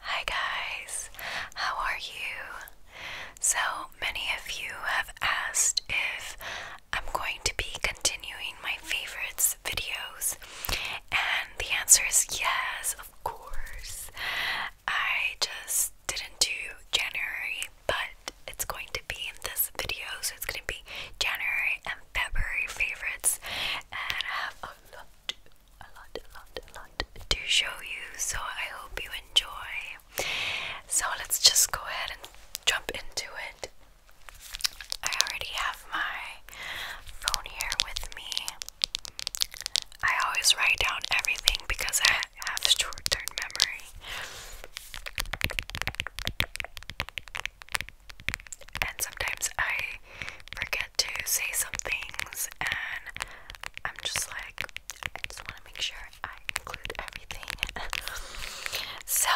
Hi, guys, how are you? So many of you have asked if I'm going to be continuing my favorites videos, and the answer is yes, of course. I just didn't do January but it's going to be in this video, so it's going to be January and February favorites, and I have a lot, a lot, a lot, a lot to show you. So I hope you enjoy. So let's just go ahead and jump into it. I already have my phone here with me. I always write down everything because I have short term memory. And sometimes I forget to say some things, and I'm just like, I just want to make sure I include everything. so,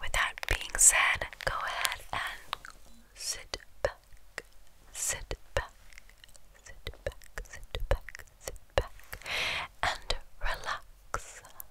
with that being said, go ahead and sit back, sit back, sit back, sit back, sit back, and relax. Relax,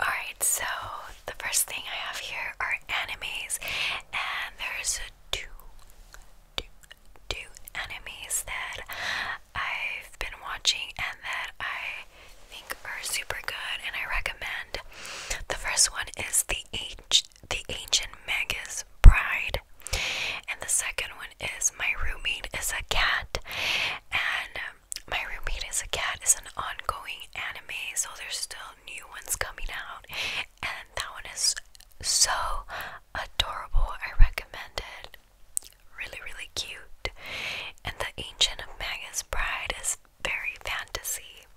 Alright, so the first thing I have here are animes, and there's two, two, two animes that I've been watching and that I think are super good and I recommend. The first one is the Ange the Ancient Magus Bride, and the second one is My Roommate is a Cat, my Roommate is a Cat is an ongoing anime, so there's still new ones coming out, and that one is so adorable. I recommend it. Really, really cute. And The Ancient of Magus Bride is very fantasy.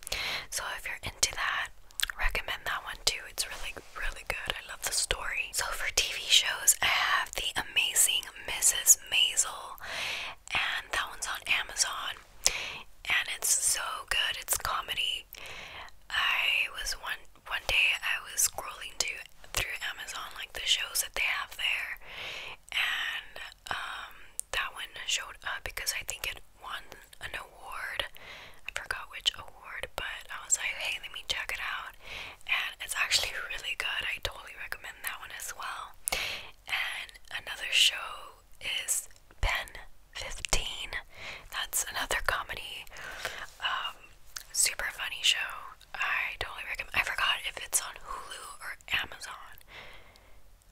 So if you're into that, recommend that one too. It's really, really good. I love the story. So for TV shows, I have The Amazing Mrs. Maisel and that one's on Amazon. And it's so good. It's comedy. I was one one day I was scrolling to through Amazon like the shows that they have there, and um, that one showed up because I think it won an award. I forgot which award, but I was like, hey, let me check it out, and it's actually really good. I totally recommend that one as well. And another show is Ben 15. That's another comedy, um, super funny show. I totally recommend. I forgot if it's on Hulu or Amazon.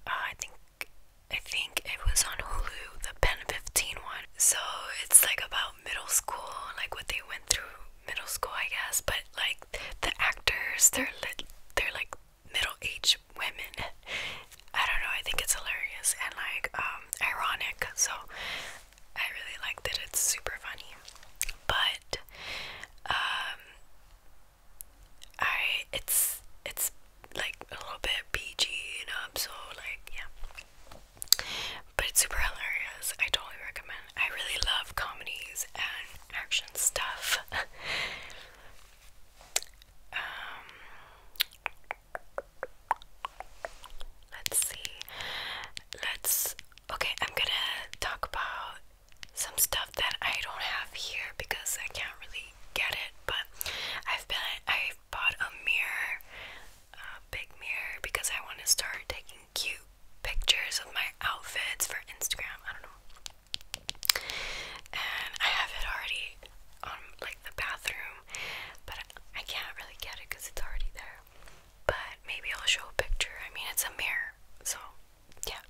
Uh, I think I think it was on Hulu, the Ben 15 one. So it's like about middle school, like what they went through middle school, I guess, but like the actors, they're li they're like middle-aged women. I don't know. I think it's hilarious and like um, ironic. So I really like that. It's super funny, but um, I it's it's like a little bit PG, you know. So like yeah, but it's super hilarious. I totally recommend. I really love comedies and action stuff. Um, let's see. Let's. Okay, I'm gonna talk about some stuff that I don't have here because I can't really get it. But I've been. I bought a mirror, a big mirror, because I want to start taking cute pictures of my outfits for Instagram. I don't know and I have it already on like the bathroom, but I can't really get it because it's already there. But maybe I'll show a picture. I mean, it's a mirror, so yeah,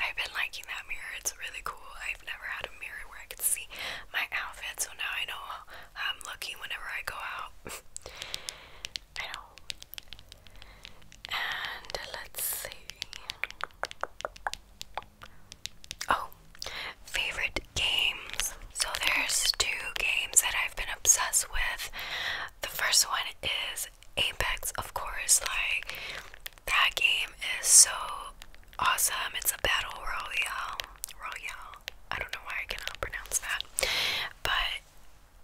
I've been liking that mirror. It's really cool. I've never had a mirror where I could see my outfit, so now I know how I'm looking whenever I go out. I know. And let's see. Oh, favorite games. So there's two games that I've been obsessed with. The first one is Apex, of course. Like that game is so awesome. It's a battle royale. Royale. I don't know why I cannot pronounce that. But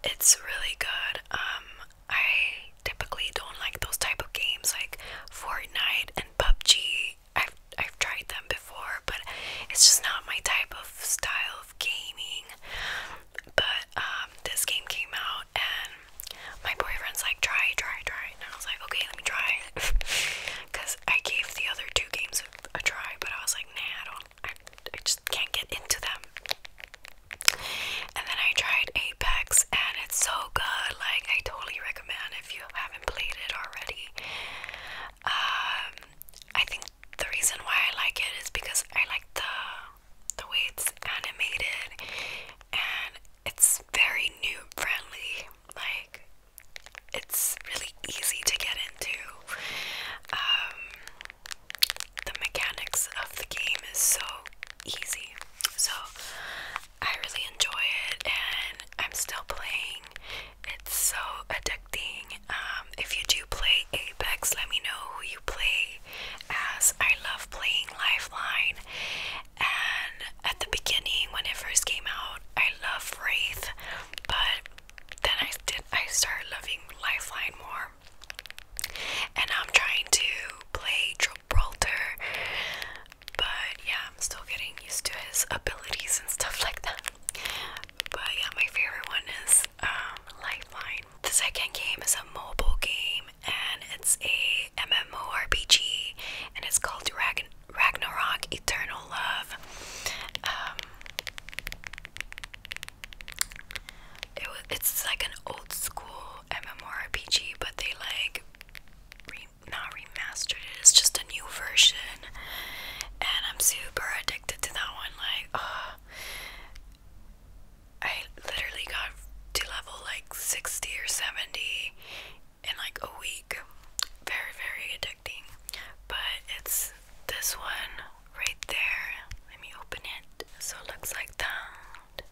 it's really good. Um, I typically don't like those type of games like Fortnite and PUBG. I've I've tried them before, but it's just not my type of style of gaming. But um, this game came out, and my boyfriend's like, try, try, try, and I was like, okay, let me try, because I gave the other two games a, try, but I was like, nah, I don't, I, I just can't get into them. And then I tried Apex and it's so good. Like I totally recommend if you haven't played it already. Um, I think the reason why I like it is because I like the the way it's animated and it's very noob friendly. Like it's really easy to get into. Um, the mechanics of the game is so easy. So I really enjoy it and I'm still playing. It's so addicting. Um, if you do play Apex, let me know who you play as. I love playing Lifeline. And at the beginning, when it first came out, I loved Wraith, but then I did. I started loving Lifeline more and I'm trying to play Gibraltar, but yeah, I'm still getting used to his abilities and stuff like that. But yeah, my favorite one is um, Lifeline. The second game is a mobile game, and it's a MMORPG, and it's called Ragnarok Eternal Love. Um, it was it's like an old school MMORPG, but they like re, not remastered it. It's just a new version, and I'm super addicted to that one. Like, ah. I literally got to level like sixty or seventy in like a week. Very very addicting, but it's this one right there. Let me open it. So it looks like that.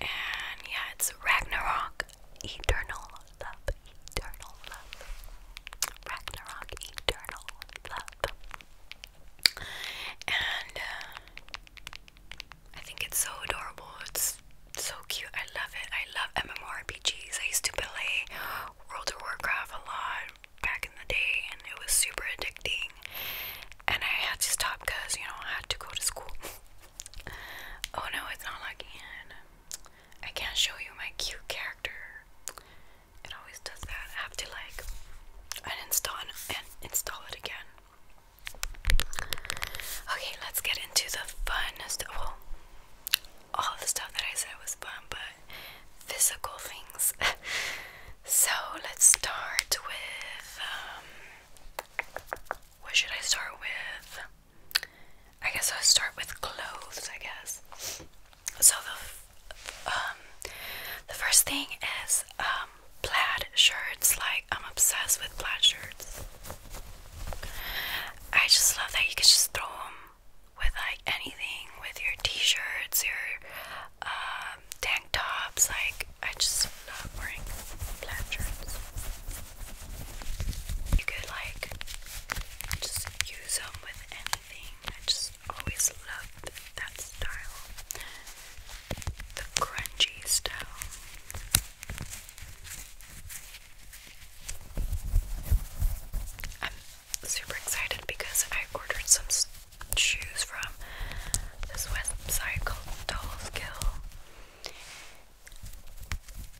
And yeah, it's Ragnarok Eternal Love, Eternal Love, Ragnarok Eternal Love. And uh, I think it's so adorable. It's so cute. I love it. I love MMORPGs. I used to play World of Warcraft a lot back in the day and it was super addicting and I had to stop because you know I had to go to school. oh no, it's not logging in. I can't show you my cute character. It always does that. I have to like uninstall and install it again. Okay, let's get into the funnest of all all the stuff that I said was fun, but physical things. so let's start with. Um, what should I start with? I guess I'll start with clothes. I guess. So the um, the first thing is um, plaid shirts. Like I'm obsessed with plaid shirts. I just love that you can just throw them with like anything, with your t-shirts, your um, tank tops. Like I just love wearing plaid shirts. You could like just use them with anything. I just always love that style, the crunchy style super excited because I ordered some shoes from this website called Dollskill.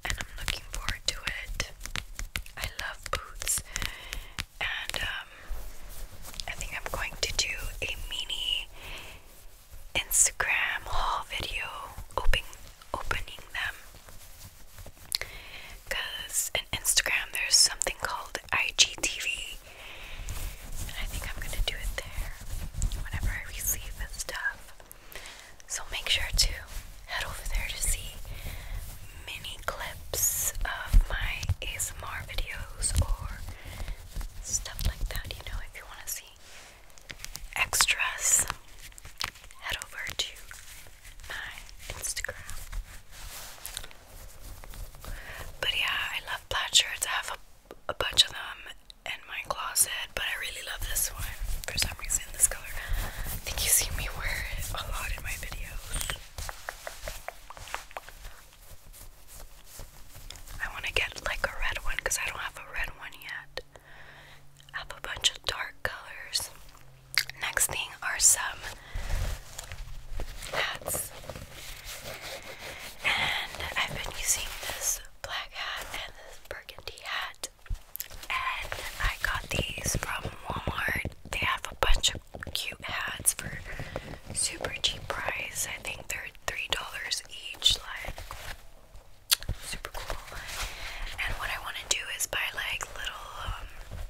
And I'm looking forward to it. I love boots. And um, I think I'm going to do a mini Instagram haul video opening opening them. Because in Instagram there's something called IGTV, and I think I'm gonna do it there whenever I receive stuff. So make sure to head over there to see mini clips of my ASMR videos or stuff like that, you know, if you want to see extras. Head over to my Instagram. But yeah, I love plaid shirts. I have a, a bunch of them in my closet, but I really love this one for some reason. This color, I think you see me wear it a lot in my videos. I want to get like a red one because I don't have a red one yet. I have a bunch of dark colors. Next thing are some hats. And I've been using this black hat and this burgundy hat. And I got these from Walmart. They have a bunch of cute hats for super cheap price. I think they're three dollars each, like super cool. And what I want to do is buy like little um,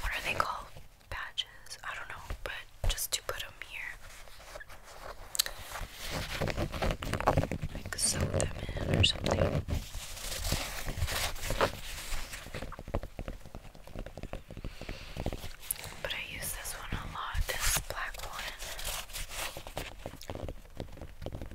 what are they called? Badges? I don't know, but just to put them here. Like sew them in or something. But I use this one a lot, this black one.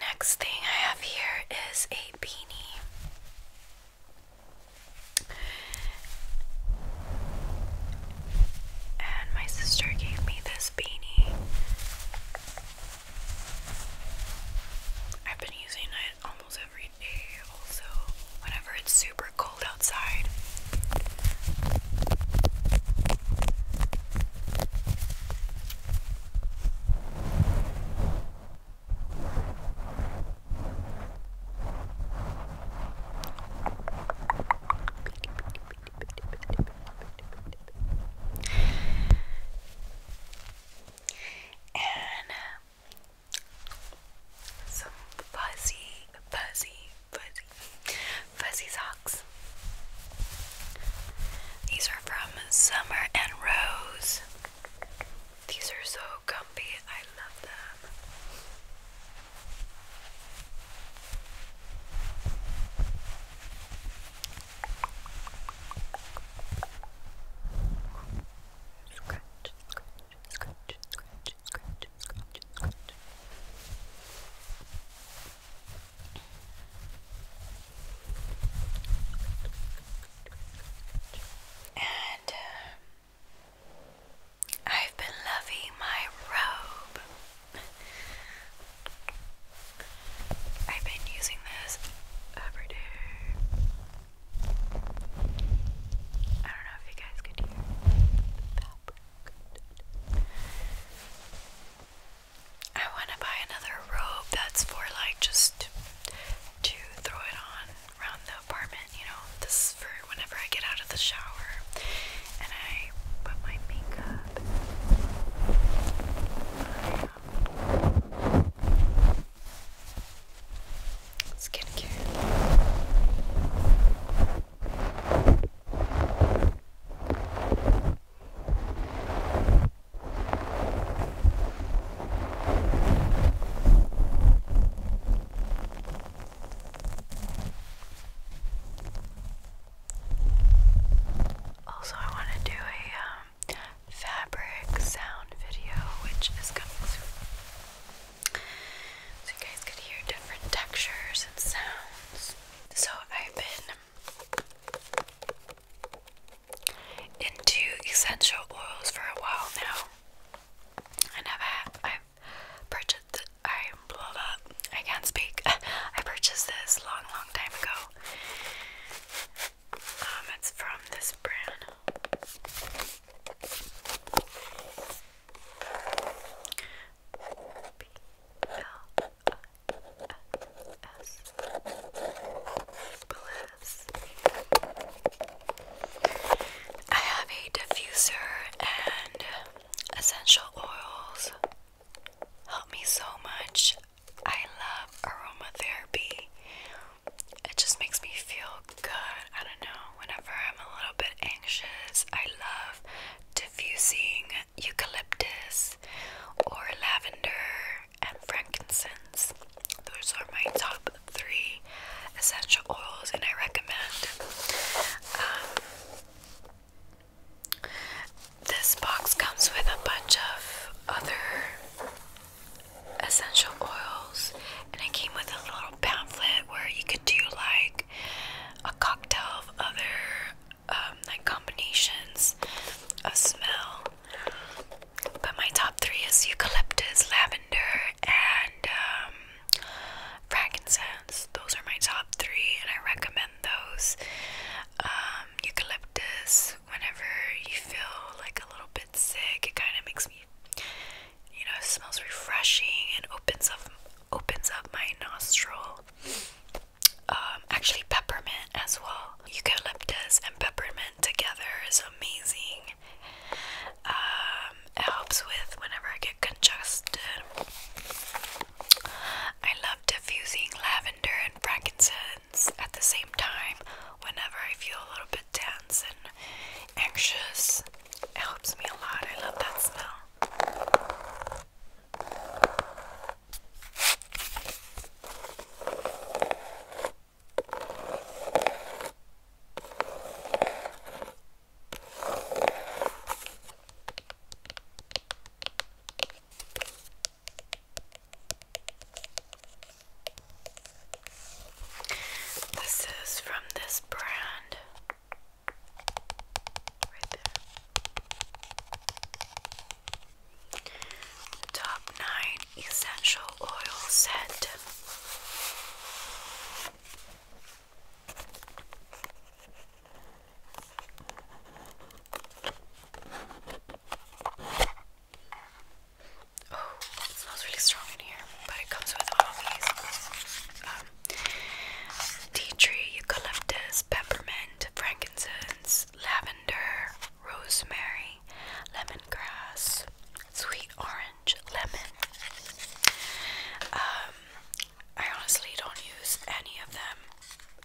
Next thing I have here is a beanie. And my sister gave me this beanie. I've been using it almost every also whenever it's super cold outside. And some fuzzy, fuzzy, fuzzy, fuzzy socks. These are from Summer and Rose. These are so comfy. I love them. Scratch, scratch, and uh, I've been loving my robe. I've been using this every day. I don't know if you guys could hear I want to buy another robe that's for like just to throw it on around the apartment, you know. This is for whenever I get out of the shower and I put my makeup. Um, skincare. Also, I want to do a um, fabric sound video, which is coming soon so you guys could hear different textures and sounds. So I've been into essential oils for a while now. And I've i purchased I blah, blah, I can't speak. I purchased this long long time ago. Um, it's from this brand. Bliss. I have a diffuser and essential oils. Help me so much. I love aromatherapy it just makes me feel good. I don't know. Whenever I'm a little bit anxious, I love diffusing eucalyptus or lavender and frankincense. Those are my top three essential oils, and I recommend. Um, this box comes with a bunch of other essential oils, and it came with a little pamphlet where you could do like a cocktail of other um, like combinations of smell. But my top three is eucalyptus, lavender, and um, frankincense. Those are my top three, and I recommend those. Um, eucalyptus, whenever you feel like a little bit sick, it kind of makes me you know, smells refreshing and opens up opens up my nostril. Um, actually peppermint as well. Eucalyptus and peppermint together is amazing. Um, it helps with whenever I get congested. I love diffusing lavender and frankincense at the same time whenever I feel a little bit tense and anxious. It helps me a lot. I love that smell. This is from this brand. Top 9 Essential Oil Set. Oh, it smells really strong in here, but it comes with all these um, tea tree, eucalyptus, peppermint, frankincense, lavender, rosemary, lemon grass, sweet orange, lemon. Um, I honestly don't use any of them,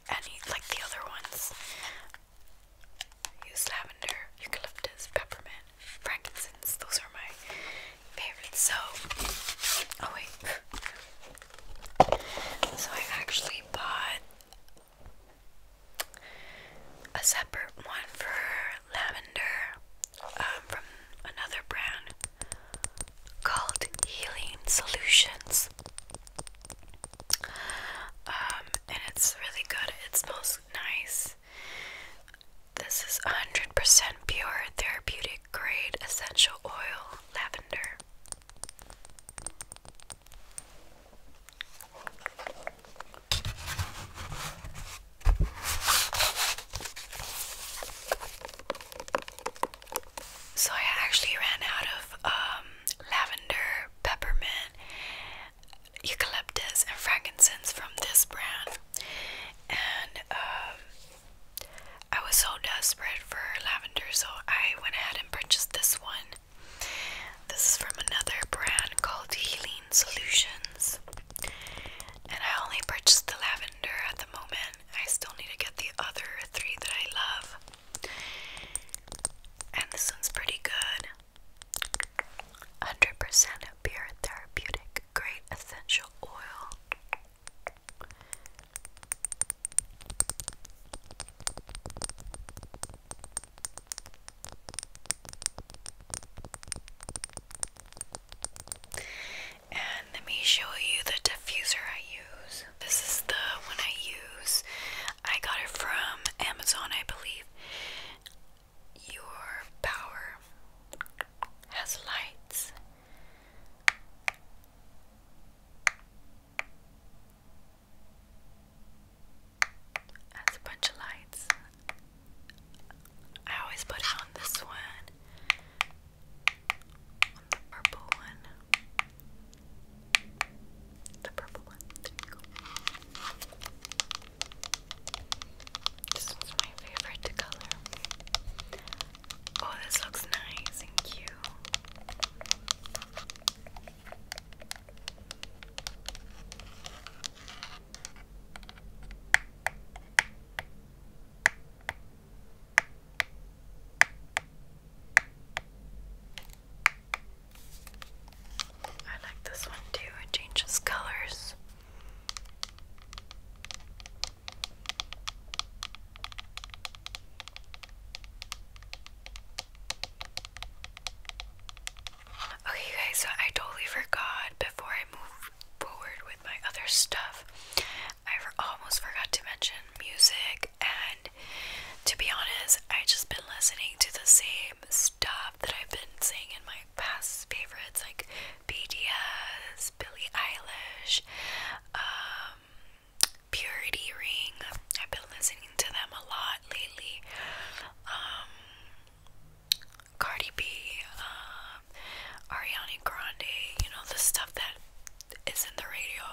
any like the other ones. Use lavender, eucalyptus, peppermint, frankincense. Those are my favorites. So, oh wait. So I actually bought a separate one for lavender um, from another brand called Healing Solutions. Um, and it's really good. It smells nice. This is 100% pure therapeutic grade essential oil lavender. So I actually ran out of um, lavender peppermint eucalyptus and frankincense from this brand, and um, I was so desperate for lavender, so I went ahead and purchased this one. This is from another brand called Healing Solutions, and I only purchased the lavender at the moment. I still need to get the other three that I love, and this one's pretty good. 100% pure therapeutic grade essential oil. And let me show you the diffuser I use. This is the one I use. I got it from Amazon, I believe your power has lights. That's a bunch of lights. I always put it on this one, on the purple one. The purple one. This was my favorite color. Oh, this looks nice and cute. I like this one too, it changes colors. Okay, guys, so I totally forgot before I move forward with my other stuff. I almost forgot to mention music, and to be honest, I've just been listening to the same stuff that I've been saying in my past favorites like BDS, Billie Eilish, um, Purity Ring. I've been listening to them a lot lately. Um, Cardi B, um, Ariana Grande, you know, the stuff that is in the radio.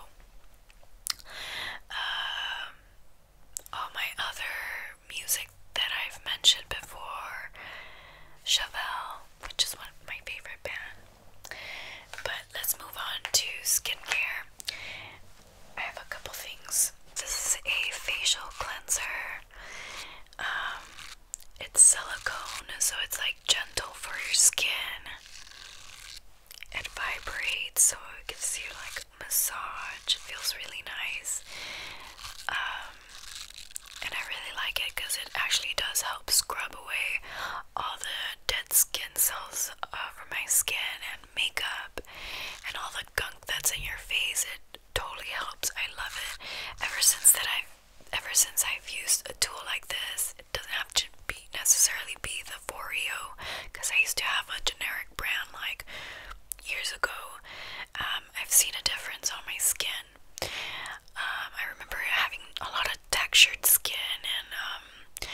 all my other music that I've mentioned before, Chavel, which is one of my favorite bands. But let's move on to skincare. I have a couple things. This is a facial cleanser. Um, it's silicone, so it's like gentle for your skin. It vibrates, so it gives you like massage. It feels really nice. Um, and I really like it because it actually does help scrub away all the dead skin cells uh, from my skin and makeup and all the gunk that's in your face. It totally helps. I love it. Ever since that I've ever since I've used a tool like this, it doesn't have to be necessarily be the Foreo because I used to have a generic brand like years ago. Um, I've seen a difference on my skin um, I remember having a lot of textured skin and um,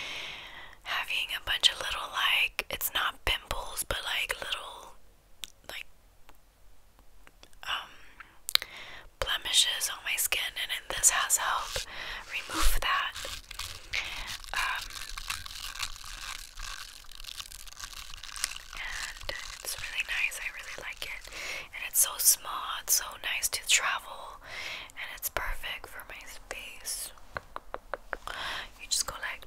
having a bunch of little, like, it's not pimples, but like little, like, um, blemishes on my skin, and, this has helped remove that and it's really nice. I really like it, and it's so small. It's so nice to travel, and it's perfect for my space. You just go like.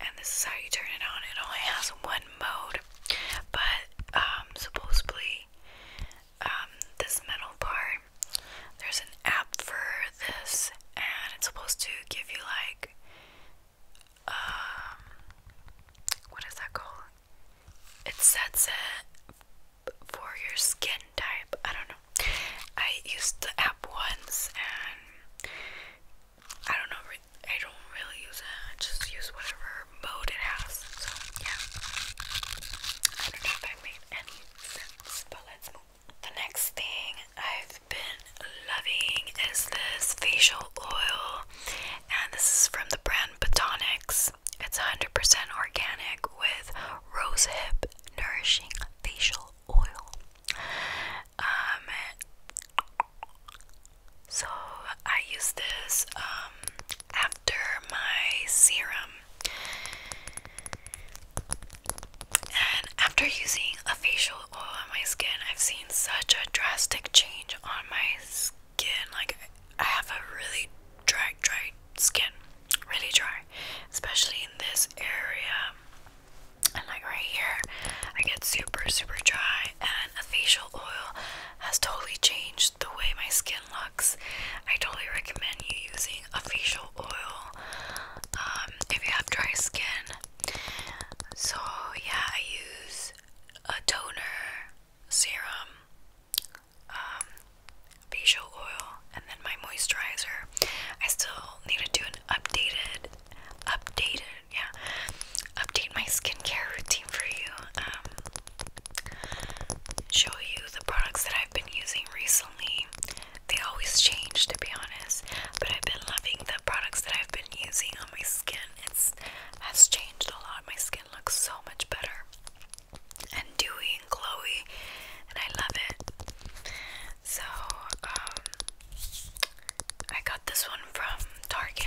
And this is how you turn it on. It only has one mode, but um, supposedly um, this metal part there's an app for this, and it's supposed to give you like, um, what is that called? It sets it for your skin type. I don't know. I used the app once, and I don't know. I don't really use it. just use whatever mode it has. So yeah, I don't know if I made any sense, but let's move. The next thing I've been loving is this facial oil, and this is from the brand Botanics. It's 100% organic with rosehip nourishing facial oil. Um, so I use this um, after my serum and after using a facial oil on my skin, I've seen such a drastic change on my skin. Like, I have a really dry, dry skin. Really dry. Especially in this area. And like right here, I get super, super dry. And a facial oil has totally changed the way my skin looks. I totally recommend you using a facial oil um, if you have dry skin. So, yeah, I use a toner, serum, um, facial oil, and then my moisturizer. I still need to do an updated, updated, yeah, update my skincare routine for you. Um, show you the products that I've been using recently. They always change, to be honest. But I've been loving the products that I've been using on my skin. It's has changed a lot. My skin looks so much better and dewy and glowy, and I love it. So, um, I got this one from Target.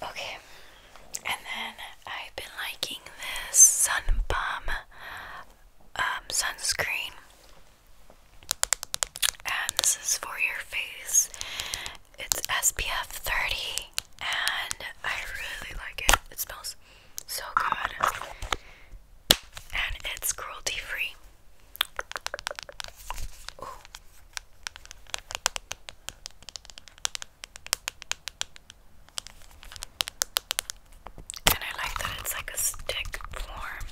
Okay, and then I've been liking this sun um, sunscreen and this is for your face. It's SPF 30, and I really like it. It smells so good, and it's cruelty free. And I like that it's like a stick form,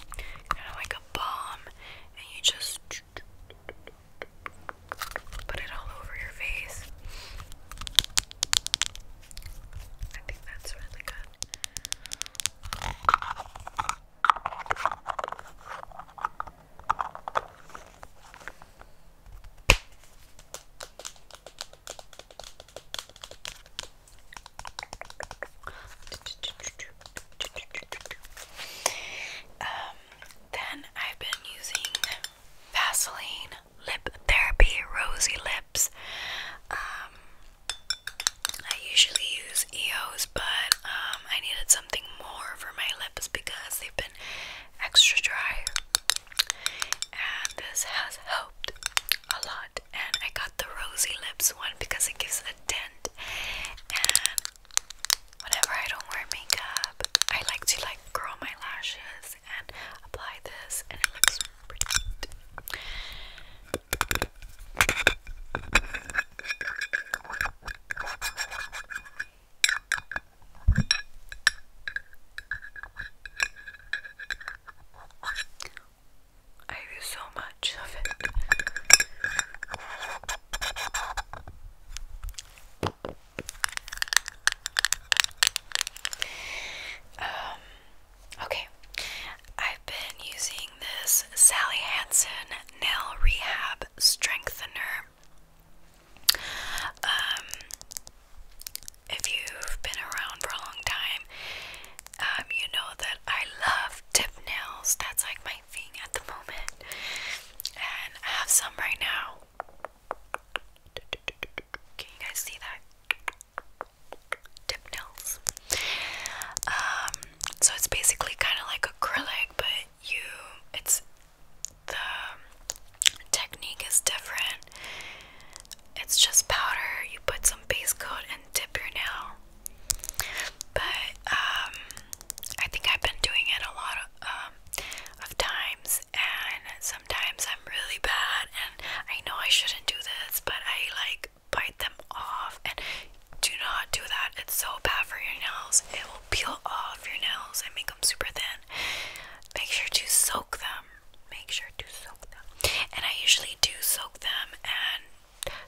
kind of like bomb and you just put it all over your face. I think that's really good. Um, then I've been using Vaseline Lip Therapy Rosy Lips. Um, I usually use EOS, but um, I needed something more for my lips because they've been extra dry. And this has helped a lot. And I got the Rosy Lips one because it gives a 10 and um, whenever I don't wear makeup I like to like curl my lashes and apply this and it looks pretty I use so much of it. Um, okay. I've been using this Sally Hansen Nail Rehab Strengthener. Um, if you've been around for a long time, um, you know that I love tip nails. That's like my at the moment, and I have some right now. Can you guys see that? Tip nails. Um, so it's basically kind of like acrylic, but you, it's the technique is different. It's just powder. You put some base coat and dip your nail but um, I think I've been doing it a lot of, um, of times, and sometimes I'm really bad, and I know I shouldn't do this, but I like bite them off. And do not do that, it's so bad for your nails. It will peel off your nails and make them super thin. Make sure to soak them. Make sure to soak them. And I usually do soak them and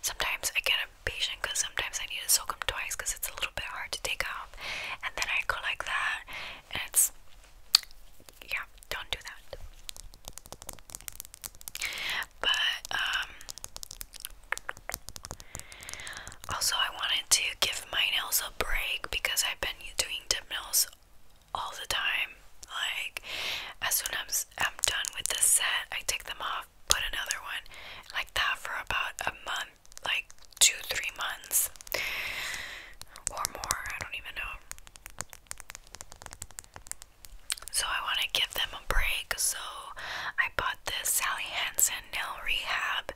Sometimes I get impatient because sometimes I need to soak them twice because it's a little bit hard to take off. And then I go like that, and it's yeah, don't do that. But um, also I wanted to give my nails a break because I've been doing dip nails all the time. Like as soon as I'm done with this set, I take them off put another one like that for about a month, like two, three months or more. I don't even know. So I want to give them a break. So I bought this Sally Hansen nail rehab.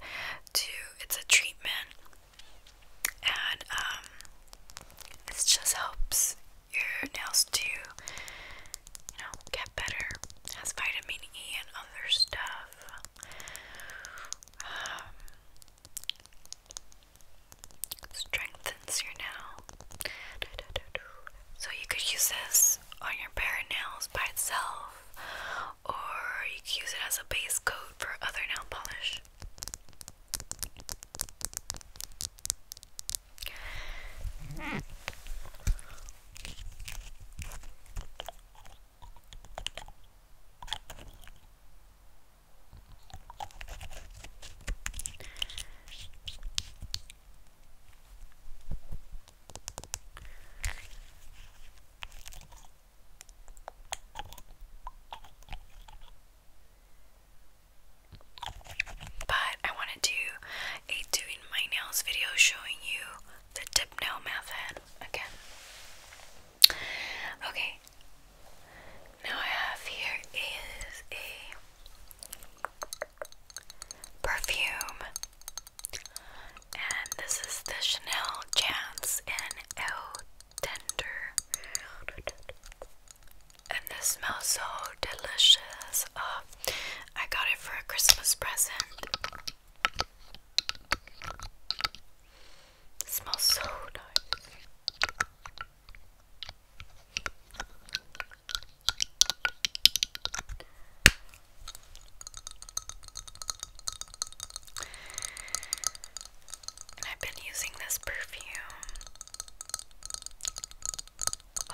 To it's a treatment, and um, it just helps your nails to you know, get better. Has vitamin E and other stuff. Um, strengthens your nail. So you could use this on your bare nails by itself, or you could use it as a base coat for other nail polish. But I want to do a do doing my nails video showing you the tip nail method again. Okay, now I have here is a perfume, and this is the Chanel Chance and El Tender. And this smells so delicious. Uh, I got it for a Christmas present. smells so nice. I've been using this perfume you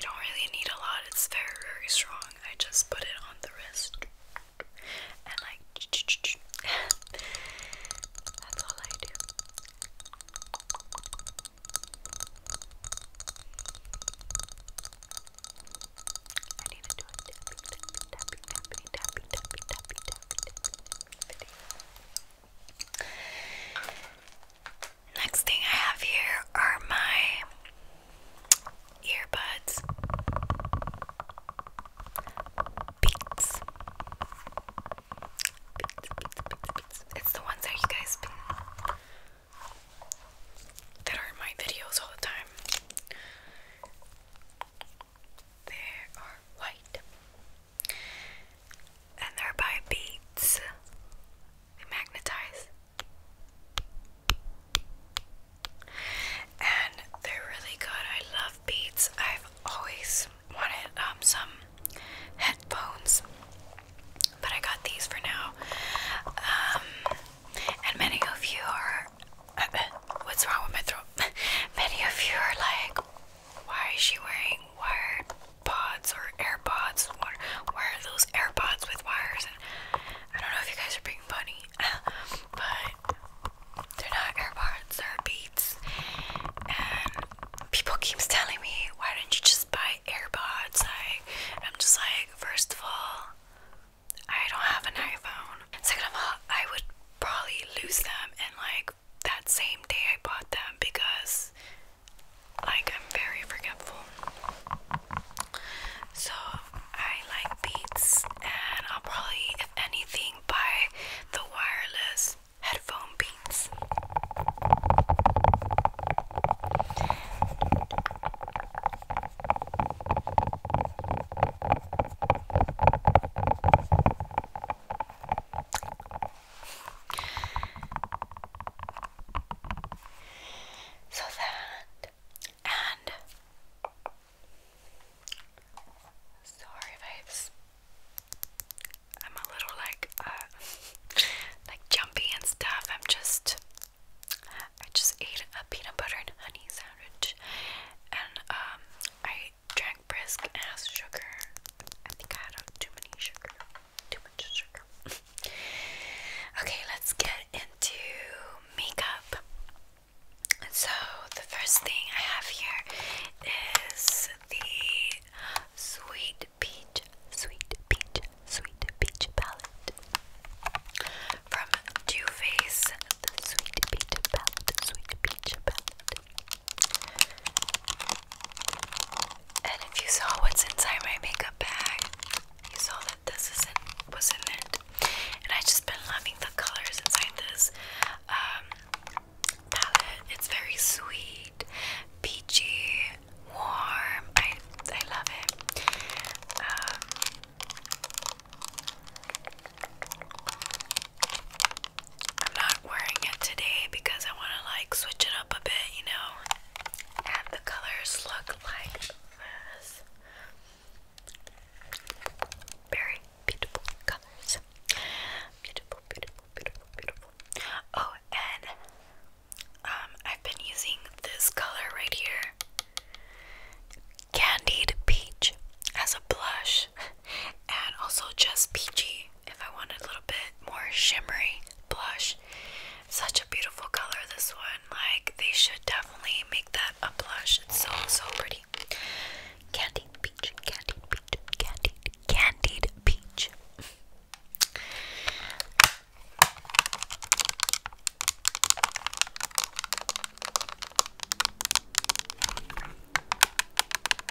don't really need a lot, it's very, very strong. I just put it on the wrist and like, that's all I do. I need to do a tapping, tapping, tapping, tapping, tapping, tapping, tapping, tapping, tapping, tapping video. Next thing I have here are my earbuds. Beats. It's the ones that you guys that are in my videos all the time. They are white and they're by beads. They magnetize. And they're really good. I love beats. I've always wanted um, some headphones, but I got these for now. Um, and many of you are. what's wrong with my throat? many of you are like, why is she wearing wired pods or AirPods. What, where are those AirPods with wires? And I don't know if you guys are being funny, but they're not AirPods, or Beats. And people keeps telling me, why don't you just buy AirPods? Like, I'm just like, first of all, I don't have an iPhone. Second of all, I would probably lose them in like that same day I bought them because like, I'm very forgetful. So, I like Beats, and I'll probably, if anything, buy the wireless headphone Beats. So that and sorry vibes. I'm a little like uh, like jumpy and stuff. I'm just I just ate a peanut butter and honey sandwich and um I drank brisk as sugar. I think I had too many sugar. Too okay, let's get into makeup. So, the first thing I have here is the Sweet Peach, Sweet Peach, Sweet Peach palette from Too Faced. The Sweet Peach palette, Sweet Peach palette. And if you saw what's inside my makeup bag, you saw that this isn't was in it. And I have just been loving the colors inside this um, palette. It's very sweet, peachy, warm. I I love it. Um, I'm not not wearing it today because I want to like switch it up a bit, you know. And the colors look like this. Very beautiful colors. Beautiful, beautiful, beautiful, beautiful. Oh, and um, I've been using this color right here Candied Peach as a blush, and also just peachy if I wanted a little bit more shimmery blush. Such a beautiful color, this one. Like, they should definitely make that a blush. It's so, so pretty. Candied peach, candied peach, candied, candied peach.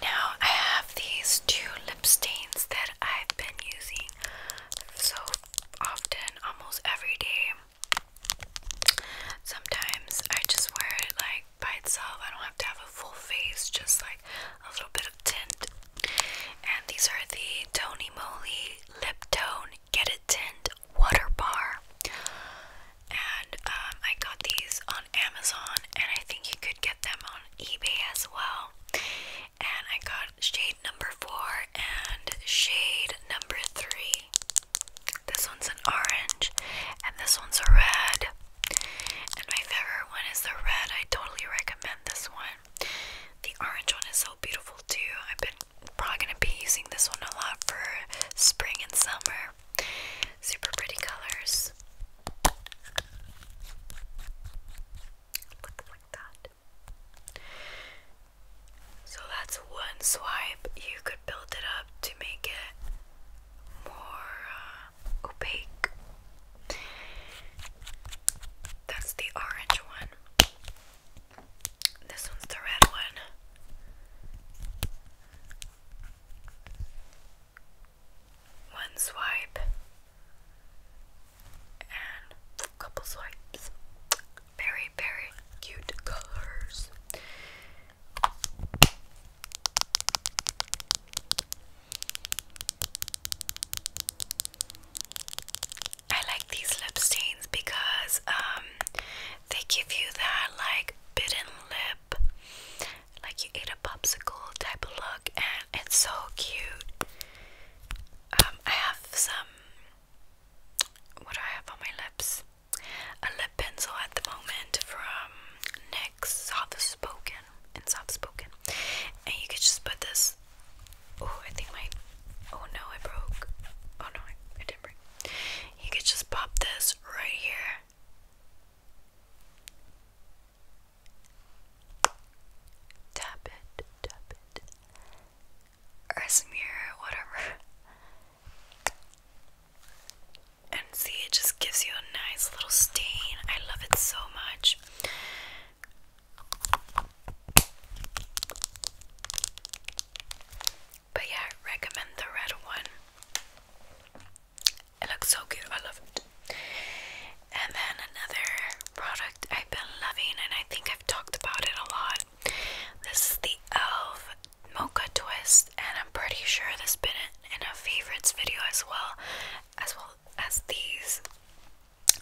Now I have these two lip stains that I've been using so often, almost every day. Sometimes I just wear it like by itself. I don't have to have a full face, just like a little bit of tint. And these are the Tony Moly Lip Tone Get It Tint Water Bar. And um, I got these on Amazon, and I think you could get them on eBay as well. And I got shade number four and shade number three. This one's an orange, and this one's a red. And my favorite one is the red. I totally recommend this one. The orange one is so beautiful too. I've been probably gonna be using this one a lot for spring and summer. Super pretty colors. Looks like that. So that's one swipe. You could build it up to make it more uh, opaque. That's the orange one. This one's the red one. One swipe and couple swipes. Very, very cute colors. I like these lip stains because um they give you that like bitten lip like you ate a popsicle type of look and it's so cute. Um, I have some what I have on my lips? A lip pencil at the moment from soft spoken and soft spoken. And you could just put this. Oh, I think my. Oh no, I broke. Oh no, I, didn't break. You could just pop this right here. Tap it, tap it. smear, whatever. And see, it just gives you a nice little stain. I love it so much. But yeah, recommend the red one. It looks so good. I love it. And then another product I've been loving, and I think I've talked about it a lot. This is the e.l.f. Mocha Twist, and I'm pretty sure this been in a favorites video as well, as well well as these.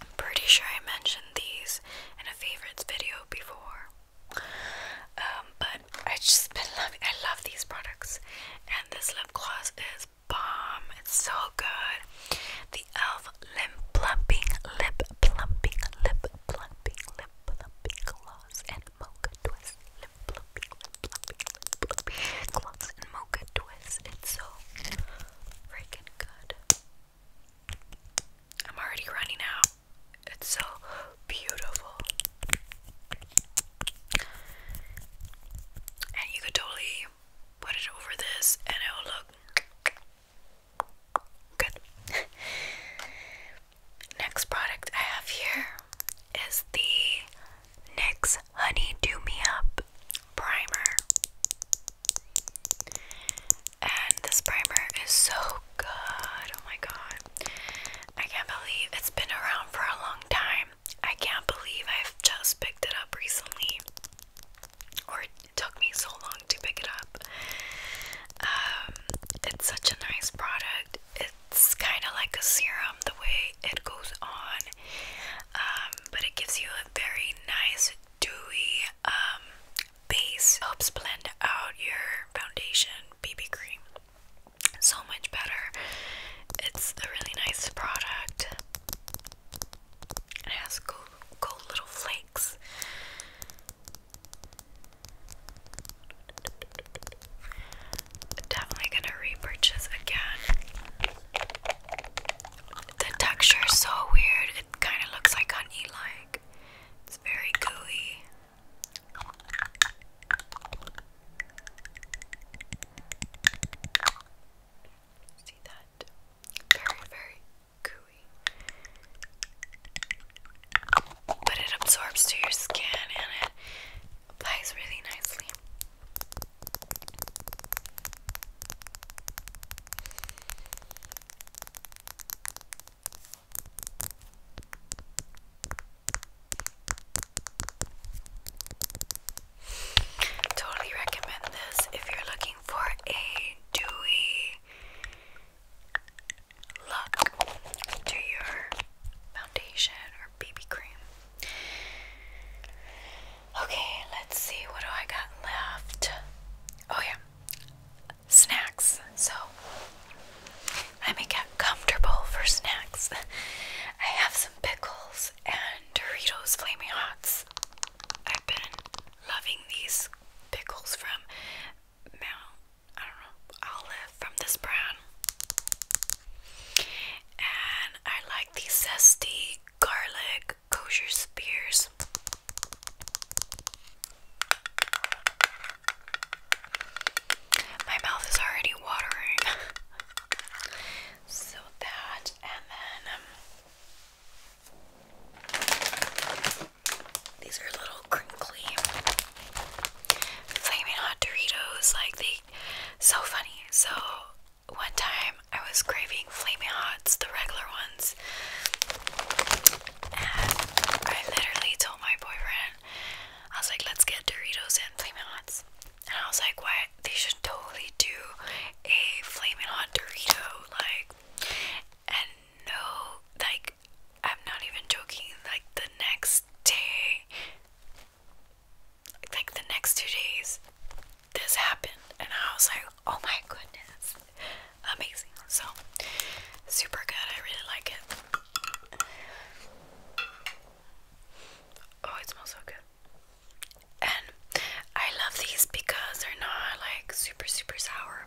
I'm pretty sure I mentioned these in a favorites video before. Um, but I just been loving I love these products. And this lip gloss is bomb. It's so good. The elf lip plumping lip plumping lip plumping lip plumping gloss and mocha twist lip plumping fluffy gloves and mocha twists. It's so freaking good. I'm already running out. It's so beautiful. And you could totally put it over this and it will look good. Next product I have here is the NYX Honey Do Me Up Primer. And this primer is so good. Oh my god. I can't believe it's been around for a long time. I can't believe I've just picked it up recently. Or it took me so long to pick it up. Um, it's such a nice product. It's kind of like a serum the way it goes on um, but it gives you a very nice dewy um, base. Helps blend out your foundation BB cream so much better. It's a really nice product. It has cool, cool little flakes. Definitely gonna repurchase again. The texture is so weird. It kind of looks like honey, like it's very gooey. See that? Very, very gooey. But it absorbs to your skin and it applies really nicely. Totally recommend this if you're looking for a dewy look to your foundation or BB cream. Okay, let's see, what do I got left? Oh, yeah, snacks. So, I make it comfortable for snacks. I have some pickles and Doritos Flaming Hots. I've been loving these pickles from Mount, I don't know, Olive from this brand. And I like these zesty garlic, kosher spears. My mouth is already watering. so that, and then um, these are little crinkly flaming hot Doritos. Like they, so funny. So one time I was craving flaming hots, the regular ones, and I literally told my boyfriend, I was like, let's get Doritos and flaming hots. And I was like, what? They should totally do a flaming hot Dorito, like, and no, like, I'm not even joking, like, the next day, like the next two days, this happened, and I was like, oh my goodness, amazing. So, super good. I really like it. Oh, it smells so good. And I love these because they're not like super, super sour.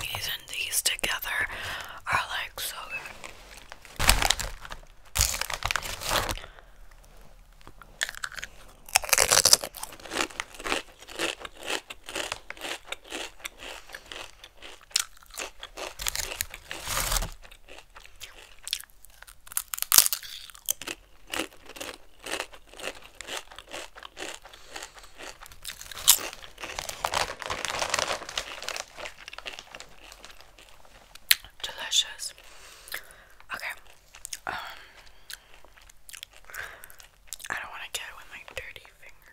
These and these together are like so good. Delicious. Okay. Um I don't want to get it with my dirty finger.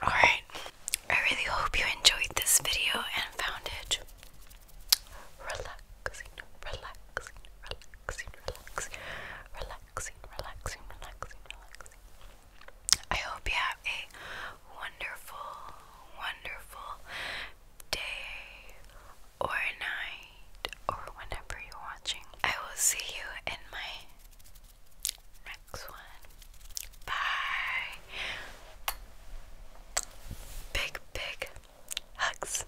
All right. I really hope you enjoyed this video and found it relaxing, relaxing, relaxing, relaxing, relaxing, relaxing, relaxing, relaxing. I hope you have a wonderful, wonderful day or night or whenever you're watching. I will see you in my next one. Bye. Big, big hugs.